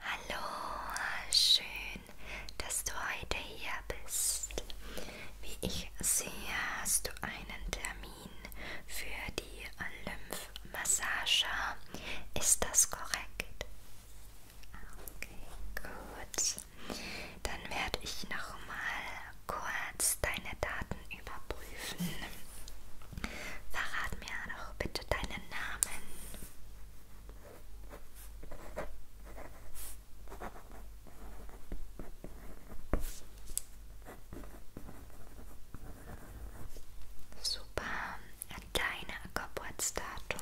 Hallo, schön, dass du heute hier bist. Wie ich sehe, hast du einen Termin für die Lymphmassage. Ist das korrekt? Okay, gut. Dann werde ich nochmal kurz deine Daten überprüfen. Verrat mir doch bitte deinen Namen. Super, an deine Geburtsdatum.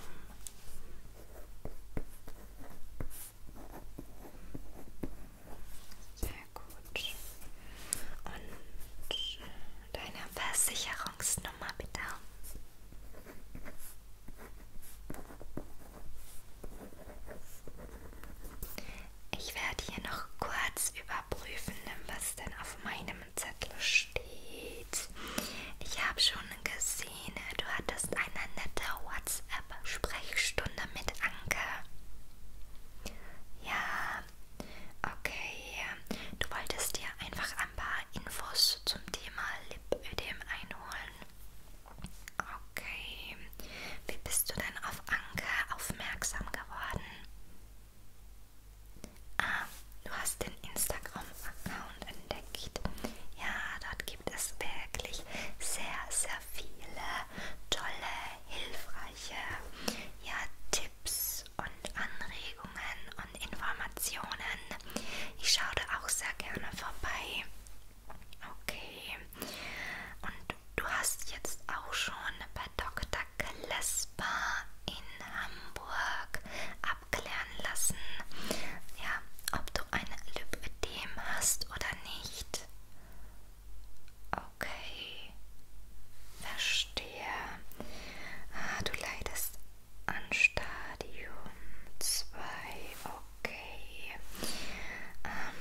Sehr gut. Und deine Versicherungsnummer nochmal bitte. Ich werde hier noch kurz überprüfen, was denn auf meinem Zettel steht. Ich habe schon gesehen, du hattest eine nette WhatsApp-Sprechstunde mit Anke. Ja, okay. Du wolltest dir einfach ein paar Infos zum Thema Lipödem einholen. Okay, wie bist du denn auf Anke aufmerksam geworden? Ah, du hast den Instagram-Account entdeckt. Ja, dort gibt es wirklich sehr, sehr viele tolle, hilfreiche ja, Tipps Tipps und Anregungen und Informationen. Ich schaue da auch sehr gerne vorbei. Okay. Und du hast jetzt auch schon bei Dr. Klesper in Hamburg abklären lassen, ja, ob du ein Lipödem hast oder nicht. Okay, verstehe. Ah, du leidest an Stadium 2. Okay. Ähm,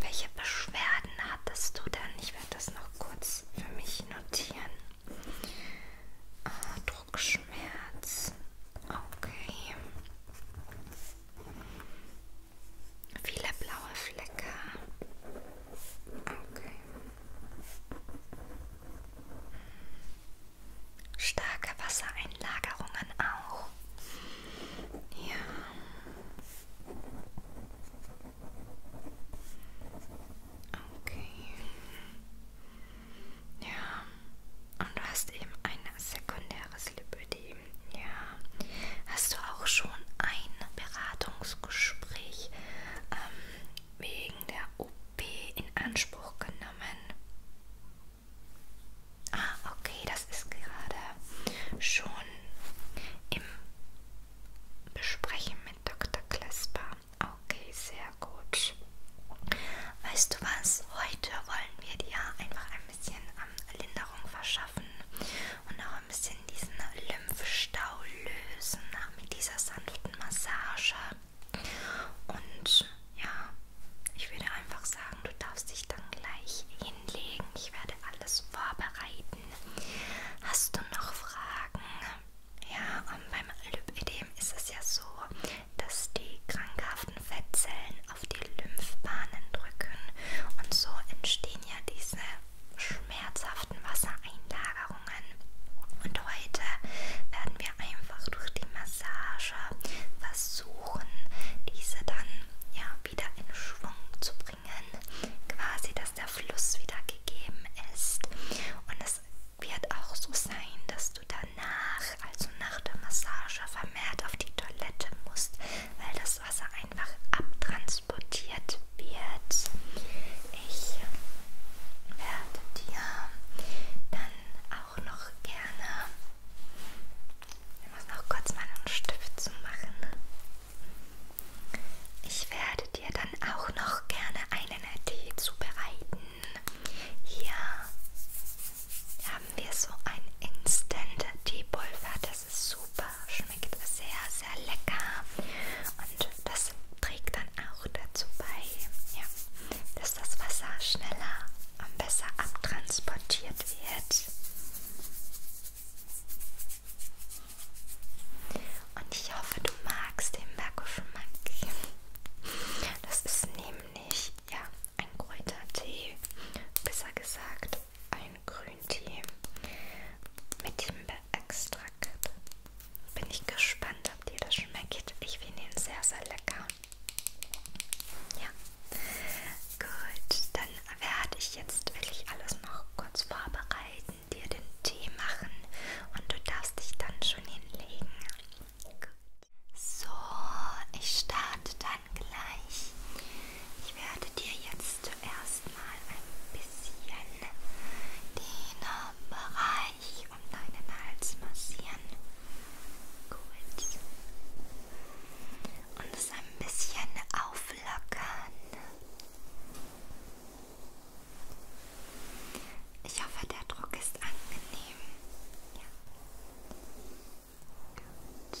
welche Beschwerden hattest du denn? Ich werde das noch kurz für mich notieren. Oh, Druckschmerz. Okay. Viele blaue Flecke. Okay. Starke Wassereinlagerungen auch. Ja. Okay. Ja. Und du hast eben ein sekundäres Lipödem. Ja. Hast du auch schon ein Beratungsgespräch ähm, wegen der OP in Anspruch genommen. Ah, okay, das ist gerade schon im Besprechen mit Dr. Klesper. Okay, sehr gut. Weißt du was? Heute wollen wir dir einfach ein bisschen ähm, Linderung verschaffen und auch ein bisschen diesen Lymphstau lösen äh, mit dieser sanften Massage. Und ja, ich würde einfach sagen, du darfst dich dann gleich hinlegen. Ich werde alles vorbereiten. Hast du noch Fragen? Ja, und beim Lymphödem ist es ja so, dass die krankhaften Fettzellen auf die Lymphbahnen drücken und so entstehen ja diese schmerzhaften Wassereinlagen. Ablagerungen. Und heute werden wir einfach durch die Massage versuchen, diese dann ja wieder in Schwung zu bringen. Quasi, dass der Fluss wieder gegeben ist. Und es wird auch so sein, dass du danach, also nach der Massage, vermehrt auf die Toilette musst, weil das Wasser einfach abtransportiert wird ich werde dir dann auch noch gerne. Ich muss noch kurz meinen Stift zu machen. Ich werde dir dann auch noch gerne einen Tee zubereiten. Hier haben wir so ein Instant Teepulver. Das ist super, schmeckt sehr, sehr lecker und das trägt dann auch dazu bei. Ja dass das Wasser schneller und besser abtransportiert wird. Und ich hoffe, du magst den Bergischen Monkey. Das ist nämlich ja, ein grüner Tee, besser gesagt ein Grüntee mit Himbeerextrakt bin ich gespannt, ob dir das schmeckt. Ich finde ihn sehr, sehr lecker. Ja. Gut, dann werde ich jetzt wirklich alles noch kurz vorbereiten, dir den Tee machen und du darfst dich dann schon hinlegen. Gut. So, ich starte dann gleich. Ich werde dir jetzt zuerst mal ein bisschen den Bereich um deinen Hals massieren. Gut. Und es ein bisschen auflockern. Ich hoffe, der Druck ist angenehm. Ja. Gut.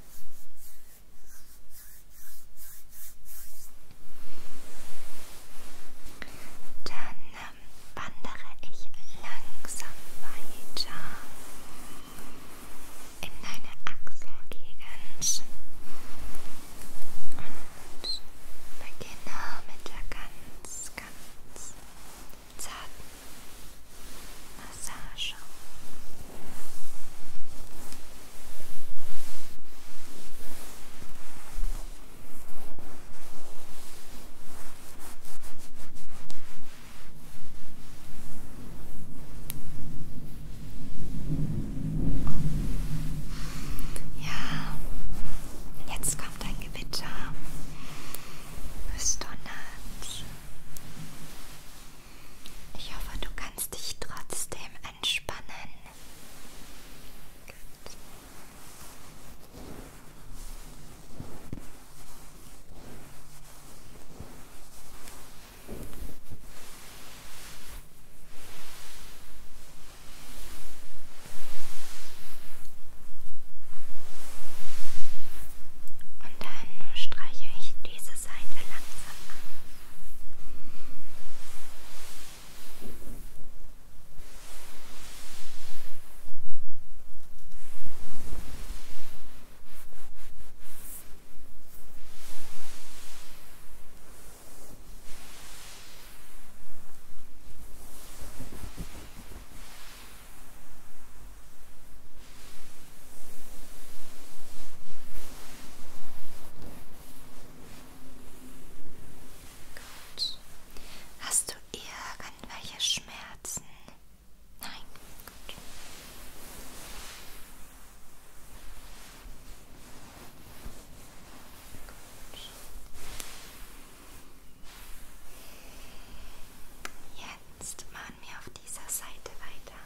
Dann ähm, wandere ich langsam weiter in deine Achselgegend und beginne mit der ganz, ganz zarten Massage. Ja, jetzt kommt ein Gewitter. Es donnert. Ich hoffe, du kannst dich trotzdem entspannen. Gut. Und dann streiche ich diese Seite langsam an. Und Gut. Hast du irgendwelche Schmerzen? Nein. Gut. Gut. Jetzt machen wir auf dieser Seite weiter.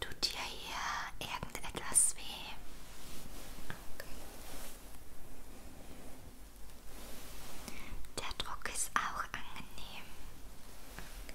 Tut dir hier irgendetwas weh? Okay. Der Druck ist auch angenehm. Okay.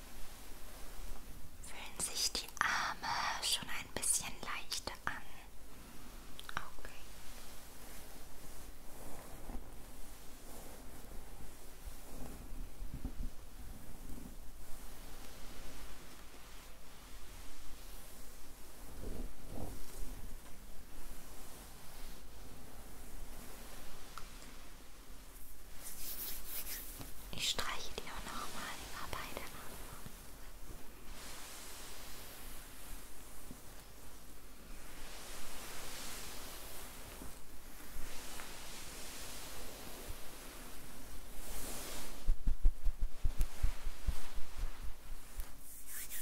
Fühlen sich die Arme schon ein bisschen leichter an? Okay. Ich streiche dir auch nochmal über beide Arme. Sehr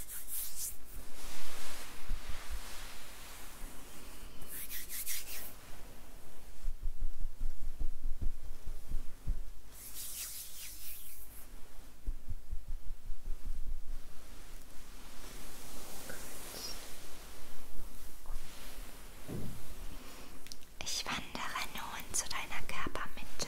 ich wandere nun zu deiner Körpermitte.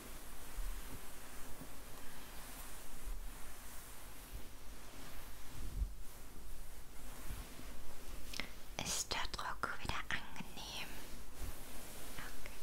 Ist der Druck wieder angenehm? Okay.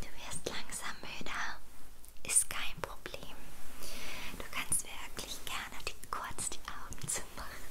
Du wirst langsam müder. Ist kein Problem. Du kannst wirklich gerne die, kurz die Augen zumachen. Gut.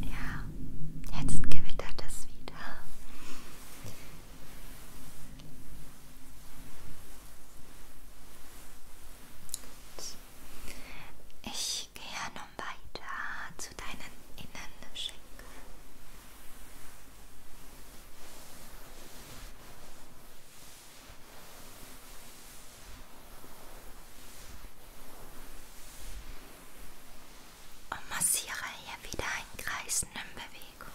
Ja, jetzt gewittert es wieder. Gut. Ich gehe nun weiter zu deinen Innenschenkeln. Und massiere hier wieder in kreisenden Bewegungen.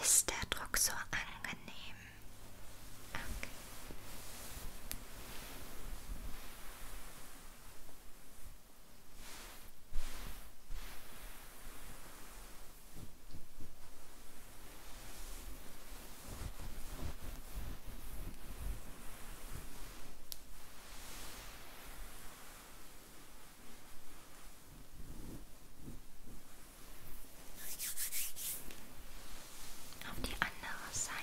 Ist der Druck so angenehm? Okay. Auf die andere Seite.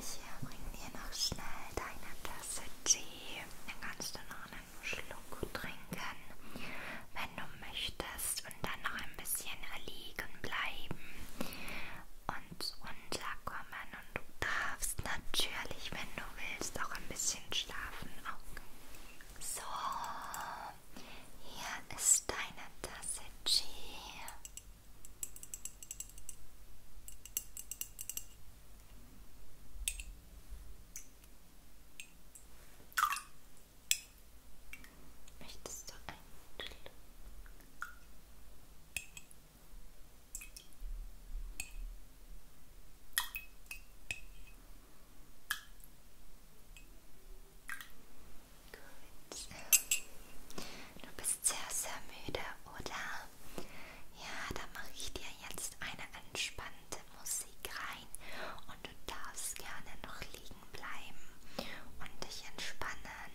Ich bringe dir noch schnell deine Tasse Tee. Dann kannst du noch einen Schluck trinken, wenn du möchtest. Und dann noch ein bisschen erliegen bleiben und unser kommen und du darfst natürlich, wenn du willst, auch ein bisschen schlafen. Okay. So, hier ist deine Tasse G. Möchtest du einen Schluck? Gut. Du bist sehr, sehr müde, oder? Ja, dann mache ich dir jetzt eine entspannte Musik rein und du darfst gerne noch liegen bleiben und dich entspannen.